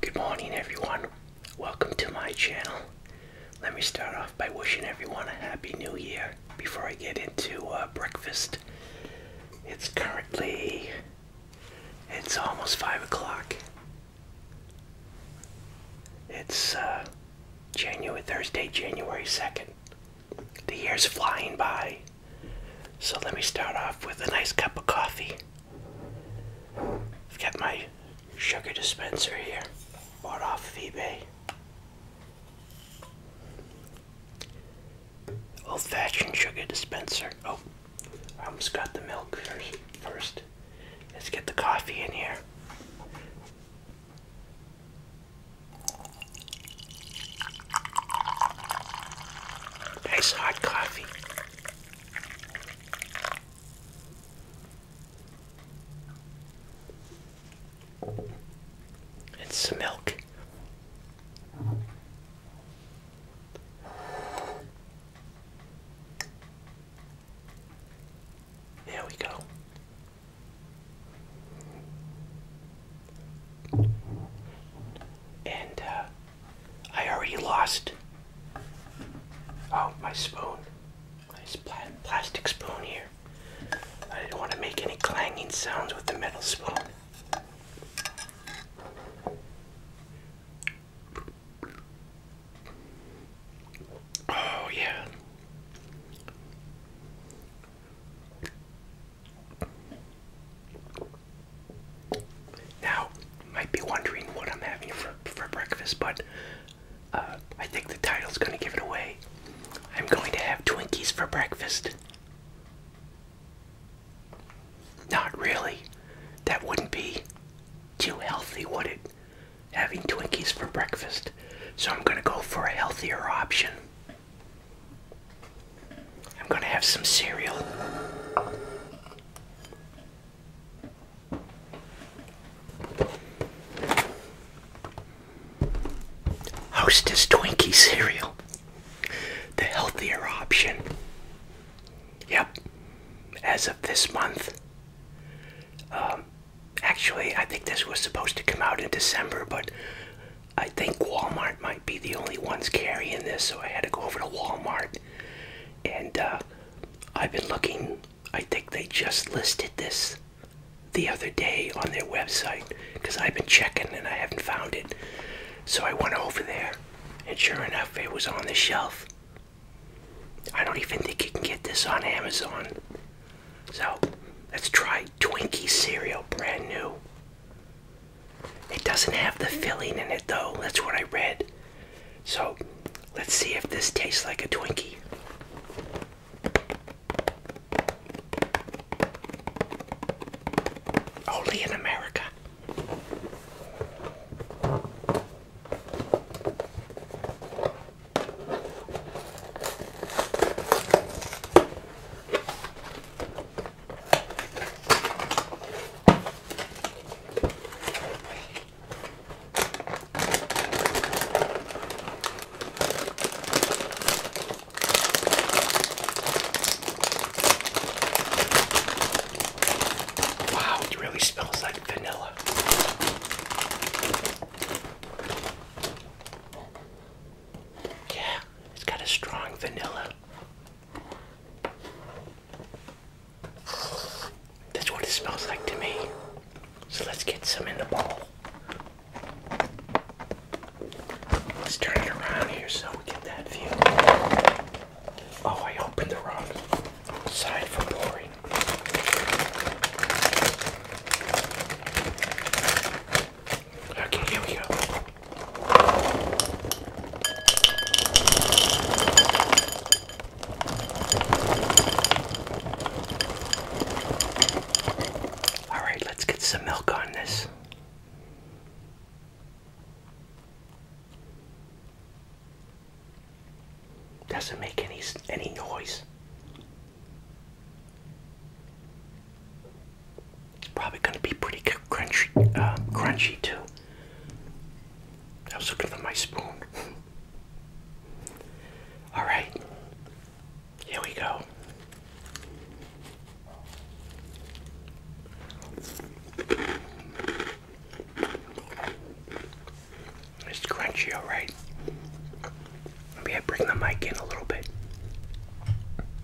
Good morning, everyone. Welcome to my channel. Let me start off by wishing everyone a happy new year before I get into uh, breakfast. It's currently, it's almost 5 o'clock. It's uh, January, Thursday, January 2nd. The year's flying by. So let me start off with a nice cup of coffee. I've got my sugar dispenser here, bought off eBay. Old fashioned sugar dispenser. Oh, I almost got the milk first. Let's get the coffee in here. Nice hot coffee. It's milk. There we go. And uh, I already lost. Oh, my spoon. Nice plastic spoon here. I didn't want to make any clanging sounds with the metal spoon. Oh, yeah. Now, might be wondering what I'm having for, for breakfast, but uh, I think the title's going to give it away. I'm going to have Twinkies for breakfast. Not really. That wouldn't be too healthy, would it? Having Twinkies for breakfast. So I'm going to go for a healthier option. I'm gonna have some cereal. Hostess Twinkie cereal, the healthier option. Yep, as of this month. Um, actually, I think this was supposed to come out in December, but I think Walmart might be the only ones carrying this, so I had to go over to Walmart. And uh, I've been looking, I think they just listed this the other day on their website because I've been checking and I haven't found it. So I went over there, and sure enough, it was on the shelf. I don't even think you can get this on Amazon. So let's try Twinkie cereal, brand new. It doesn't have the filling in it though. That's what I read. So let's see if this tastes like a Twinkie. Only in America. Wow, it really smells like vanilla. Yeah, it's got a strong vanilla that's what it smells like to me. So let's get some in the bowl. Let's turn it around here so we get that view. Oh, I opened the wrong side for pouring. Okay, here we go. All right, let's get some milk on this. Doesn't make any any noise. Probably gonna be pretty crunchy, uh, crunchy too. I was looking for my spoon. All right, here we go. It's crunchy, all right. Maybe I bring the mic in a little bit.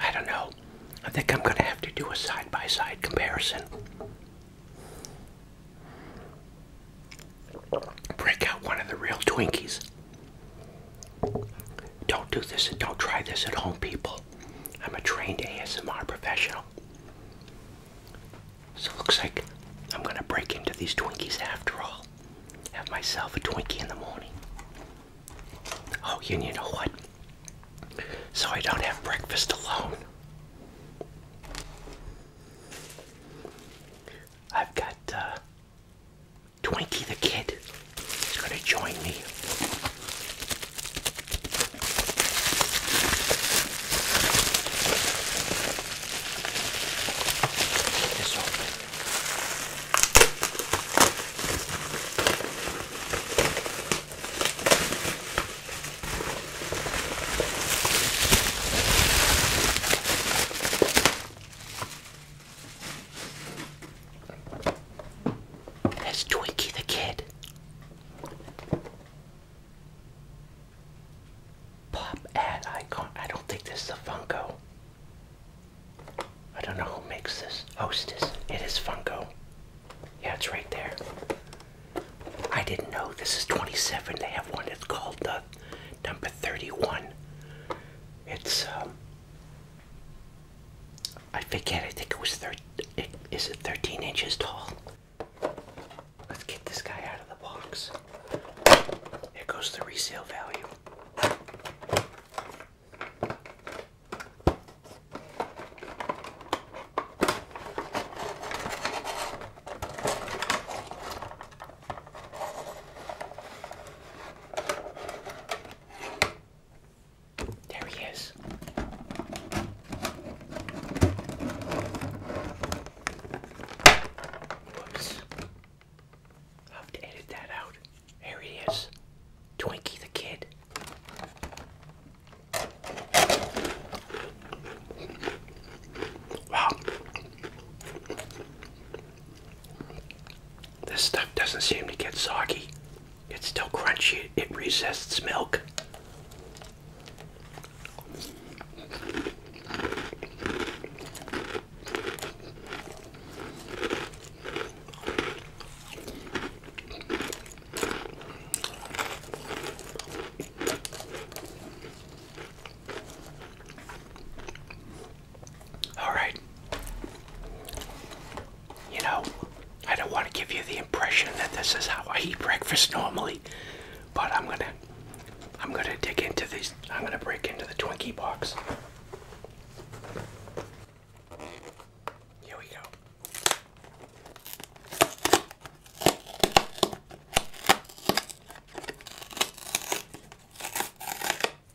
I don't know. I think I'm going to have to do a side by side comparison. Break out one of the real Twinkies. Don't do this and don't try this at home, people. I'm a trained ASMR professional. So looks like I'm gonna break into these Twinkies after all. Have myself a Twinkie in the morning. Oh, and you know what? So I don't have breakfast alone. I've got uh, Twinkie the Kid. He's going to join me. This open. That's Twinkie the Kid. Pop ad icon. I don't think this is Funko. I don't know who makes this. Hostess. It is Funko. Yeah, it's right there. I didn't know. This is 27. They have one It's called the number 31. It's um, I forget. I think it was thir it, Is it 13 inches tall? Let's get this guy out of the box. Here goes the resale value. There he is. Whoops. have to edit that out. There he is. Twinkie the Kid. Wow. This stuff doesn't seem to get soggy. It's still crunchy. It resists milk. All right you know, I don't want to give you the impression that this is how I eat breakfast normally, but I'm gonna, I'm gonna dig into these. I'm gonna break into the Twinkie box. Here we go.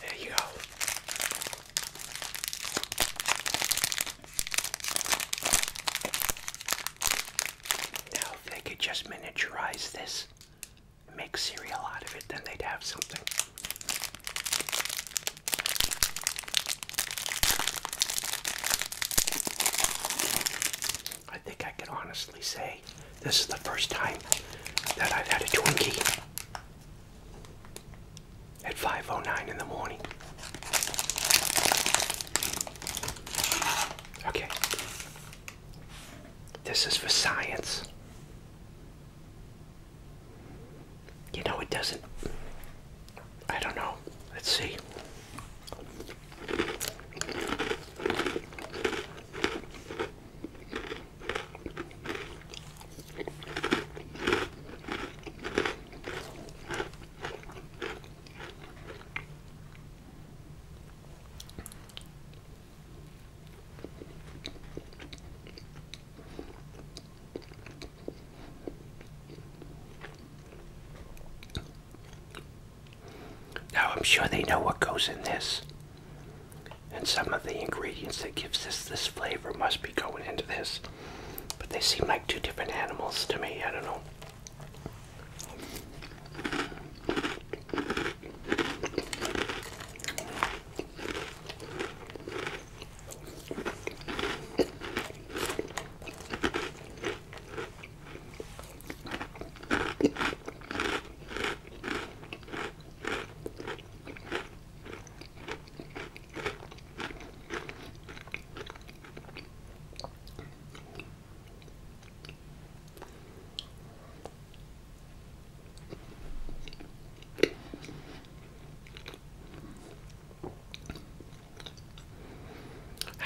There you go. Now, if they could just miniaturize this, make cereal out of it, then they'd have something. I think I can honestly say this is the first time that I've had a Twinkie at 5.09 in the morning. Okay. This is for science. You know, it doesn't. I don't know. Let's see. Now I'm sure they know what goes in this. And some of the ingredients that gives us this flavor must be going into this. But they seem like two different animals to me. I don't know.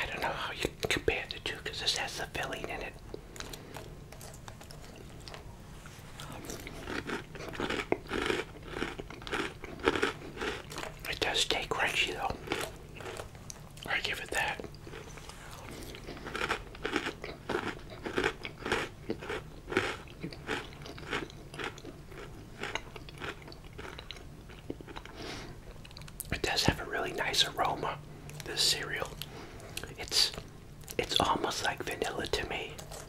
I don't know how you compare the two because this has the filling in it. It does stay crunchy though. I give it that. It does have a really nice aroma, this cereal. It's it's almost like vanilla to me.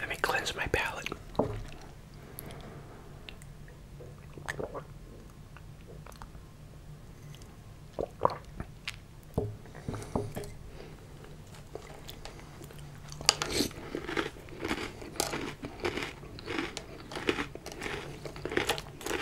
Let me cleanse my palate.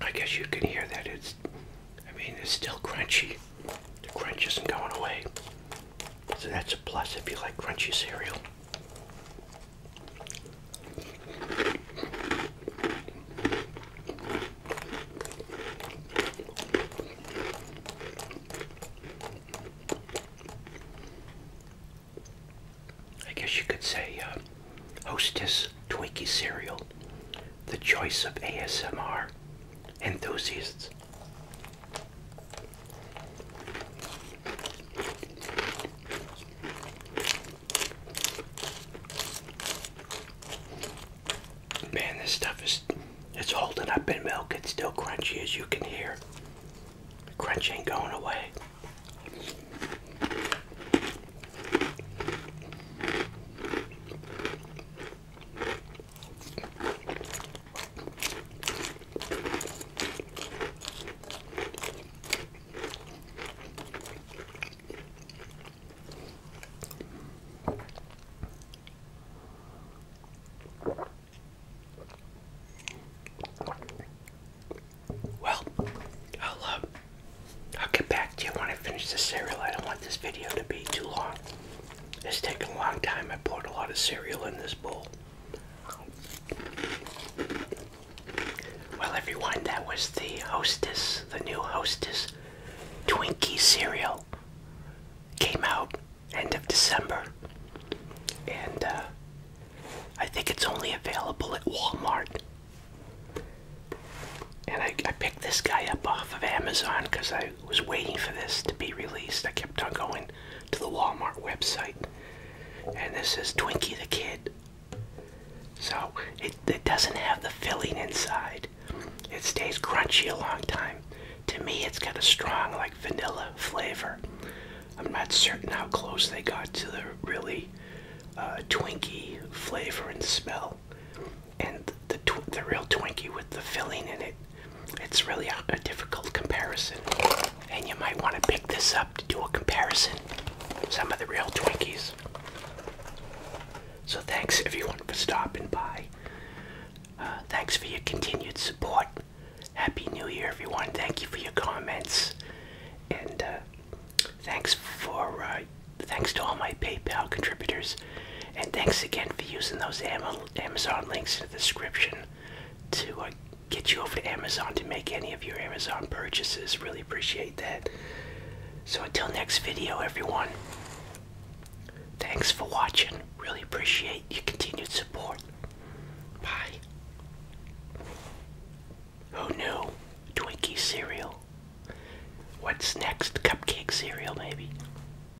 I guess you can hear that it's, I mean, it's still crunchy. The crunch isn't going away. So that's a plus if you like crunchy cereal. I guess you could say uh, Hostess Twinkie Cereal, the choice of ASMR enthusiasts. Man, this stuff is it's holding up in milk. It's still crunchy as you can hear. crunch ain't going away. Well, I'll uh, I'll get back to you when I finish the cereal. I don't want this video to be too long. It's taken a long time. I poured a lot of cereal in this bowl. Well, everyone, that was the Hostess, the new Hostess Twinkie cereal. Came out end of December. And uh, I think it's only available at Walmart. And I picked this guy up off of Amazon because I was waiting for this to be released, I kept on going to the Walmart website. And this is Twinkie the Kid. So it, it doesn't have the filling inside. It stays crunchy a long time. To me, it's got a strong, like, vanilla flavor. I'm not certain how close they got to the really uh, Twinkie flavor and smell. And the, the real Twinkie with the filling in it it's really a, difficult comparison. And you might want to pick this up to do a comparison. Some of the real Twinkies. So thanks everyone for stopping by. Uh, thanks for your continued support. Happy New Year, everyone. Thank you for your comments. And uh, thanks for uh, thanks to all my PayPal contributors. And thanks again for using those Amazon links in the description to uh, get you over to Amazon to make any of your Amazon purchases. Really appreciate that. So until next video, everyone, thanks for watching. Really appreciate your continued support. Bye. Oh no, Twinkie cereal. What's next? Cupcake cereal, maybe?